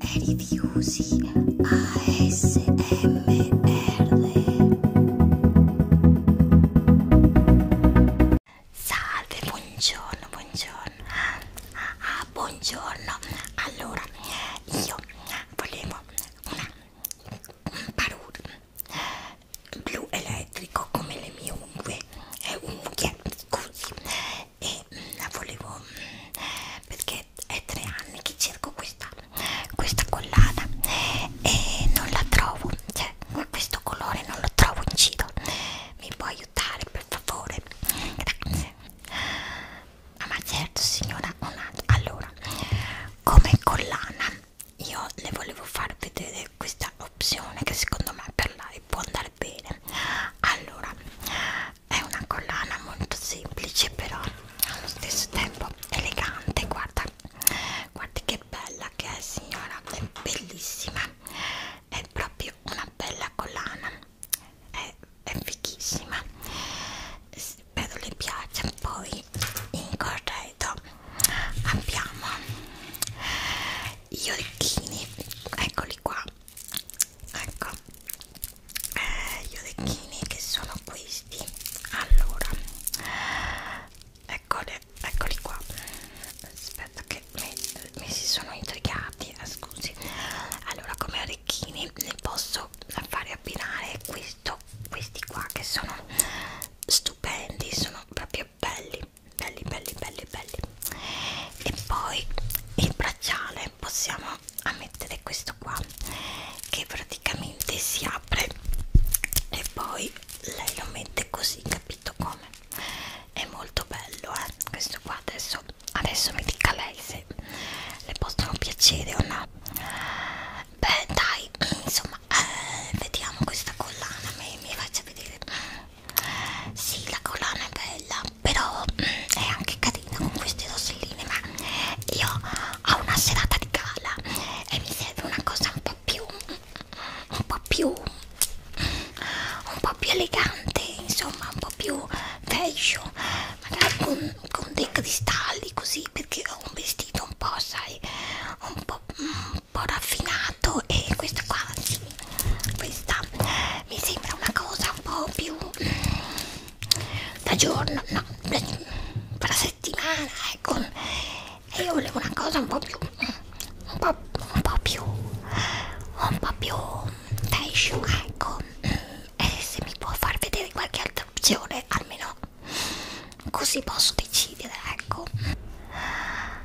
Rifiusi ASMR Salve, buongiorno, buongiorno ah, ah, Buongiorno, allora io volevo una, un parure blu elettrico come le mie unghie, unghie scusi, e e volevo eh, perché è tre anni che cerco questa questa collana e non la trovo cioè questo colore non lo trovo in giro mi può aiutare per favore grazie ah, ma certo signora un altro allora come collana io le volevo far vedere questa opzione che secondo me per lei può andare star bene allora è una collana molto semplice però allo stesso tempo elegante guarda guardi che bella che è signora è bellissima è proprio una bella collana è, è fighissima spero le piaccia poi in corredo abbiamo gli orecchini eccoli qua ecco eh, gli orecchini che sono questi allora eccole, eccoli qua aspetta che mi, mi si sono intrigati eh, scusi allora come orecchini ne posso fare abbinare questo questi qua che sono stupendi sono proprio belli belli belli belli belli e poi il bracciale possiamo mettere questo qua che praticamente si apre e poi lei lo mette così capito come è molto bello eh questo qua adesso adesso mi dica lei se le possono piacere o no beh dai insomma eh, vediamo questa collana mi, mi faccia vedere sì la collana è bella però mh, mm, è anche carina con queste rosselline ma io ho una serata di gala e mi serve una cosa un po' più un po' più un po' più elegante insomma un po' più fashion magari con, con dei cristalli così perché ho un vestito un po' sai un po' molto un po' raffinato e questa qua questa mi sembra una cosa un po' più mm, da giorno no per la settimana ecco e io volevo una cosa un po' più mm, un po', un po più un po' più fashion ecco e se mi può far vedere qualche altra opzione almeno così posso decidere, ecco. Ah,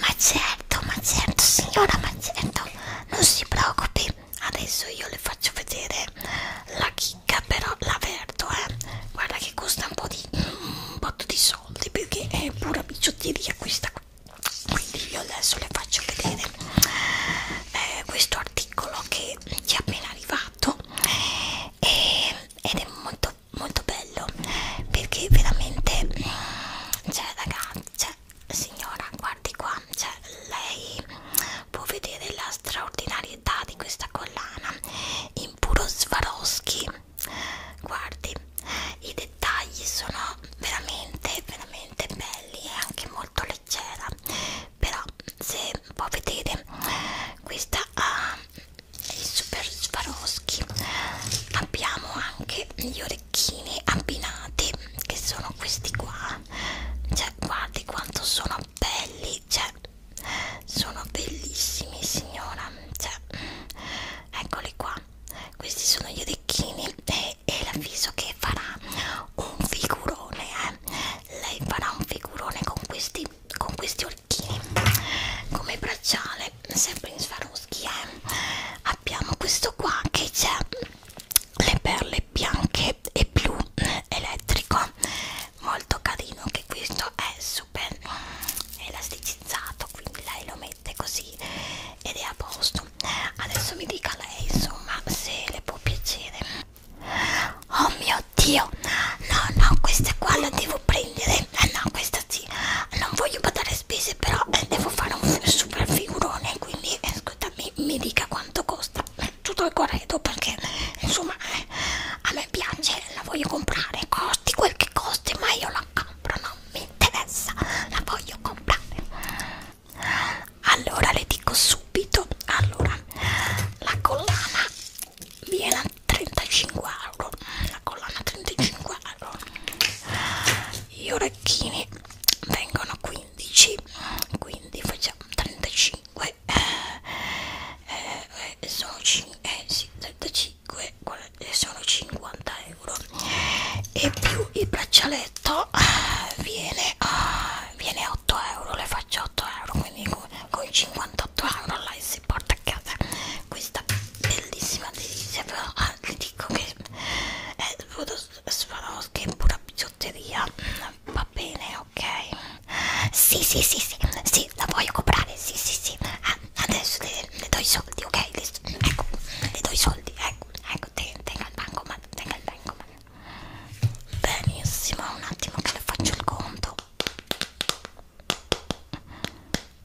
ma certo, ma certo, signora, ma certo, non si preoccupi. Adesso io le faccio vedere la chicca, però l'avverto, eh. Guarda che costa un po' di un botto di soldi perché è pura bicciotteria questa qui. Quindi io adesso le faccio vedere eh, questo articolo che ci è appena arrivato eh, ed è molto molto molto bello perché veramente cioè ragazzi cioè, signora guardi qua cioè lei può vedere la straordinarietà di questa collana in puro Swarovski guardi i dettagli sono veramente veramente belli e anche molto leggera però se può vedere questa ah, i super Swarovski abbiamo anche gli orecchini abbinati che sono questi qua cioè guardi quanto sono belli cioè sono bellissimi signora cioè eccoli qua questi sono gli orecchini e, e l'avviso che farà un figurone eh. lei farà un figurone con questi con questi orchini come bracciale sempre in Swarovski eh. abbiamo questo qua che c'è le perle bianche e blu elettrico molto carino che questo è super elasticizzato quindi lei lo mette così ed è a posto adesso mi dica lei insomma se le può piacere Oh mio Dio, no, no, questa qua la devo prendere. Eh no, questa sì, non voglio pagare spese, però eh, devo fare un super figurone. Quindi, eh, scusami, mi dica quanto costa. Eh, tutto il corredo perché, insomma, eh, a me piace, la voglio comprare. Costi quel che costi, ma io la compro, non mi interessa, la voglio comprare. Allora le dico subito, allora la collana viene a 35 euro la collana 35 euro gli orecchini vengono a 15 quindi facciamo 35 eh, eh, eh, sono 5 eh, sì, 35 eh, sono 50 euro e più il braccialetto eh, viene a viene 8 euro, le faccio 8 euro, quindi con, con 58 euro lei si porta a casa questa bellissima delizia, però ah, vi dico che è Swarovski è pura bigiotteria, va bene, ok? Sì, sì, sì, sì, sì, la voglio comprare, sì, sì, sì, ah, adesso le, le do i soldi, ok? Le, ecco, le do i soldi, ecco, ecco, tenga il bancomat, tenga il bancomat, benissimo un attimo che le faccio il conto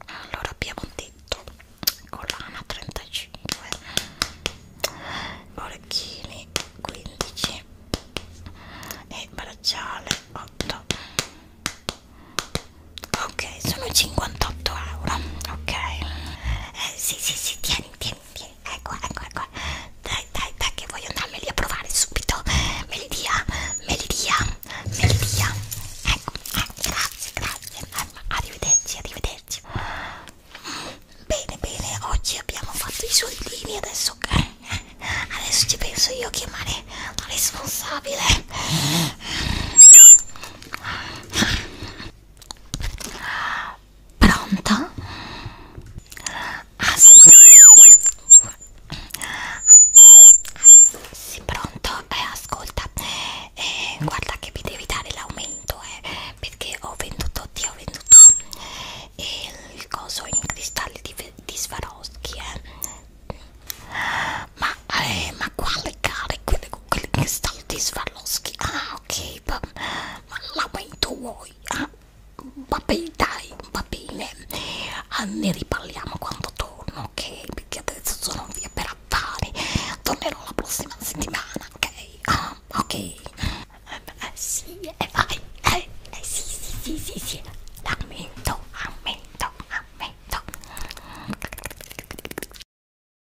allora abbiamo detto collana 35 orecchini 15 e bracciale 8 ok sono 58 euro ok eh, sì sì sì tieni tieni tieni ecco, ecco, ecco. Dai, dai, dai, che voglio andarmeli a provare subito. Me li dia, me li dia, me li dia. Ecco, eh, grazie, grazie. Arrivederci, arrivederci. Bene, bene, oggi abbiamo fatto i soldini, adesso che adesso ci penso io a chiamare la responsabile. Pronto? Ah sì. sì pronto? Eh, ascolta, eh, guarda che mi devi dare l'aumento, eh, perché ho venduto, ti ho venduto eh, il coso in cristalli di, di Swarovski, eh. Ma, eh, ma quale gare? Quelli con cristalli di Swarovski? Ah, ok, va, lamento vuoi? Ah, va bene, dai, va bene, ah, ne riparliamo quando torno, ok? Perché adesso sono via per affari, tornerò la prossima settimana, ok? Ah, ok, eh, eh, sì, eh, vai, eh, eh, sì, sì, sì, sì, sì, lamento, lamento, lamento.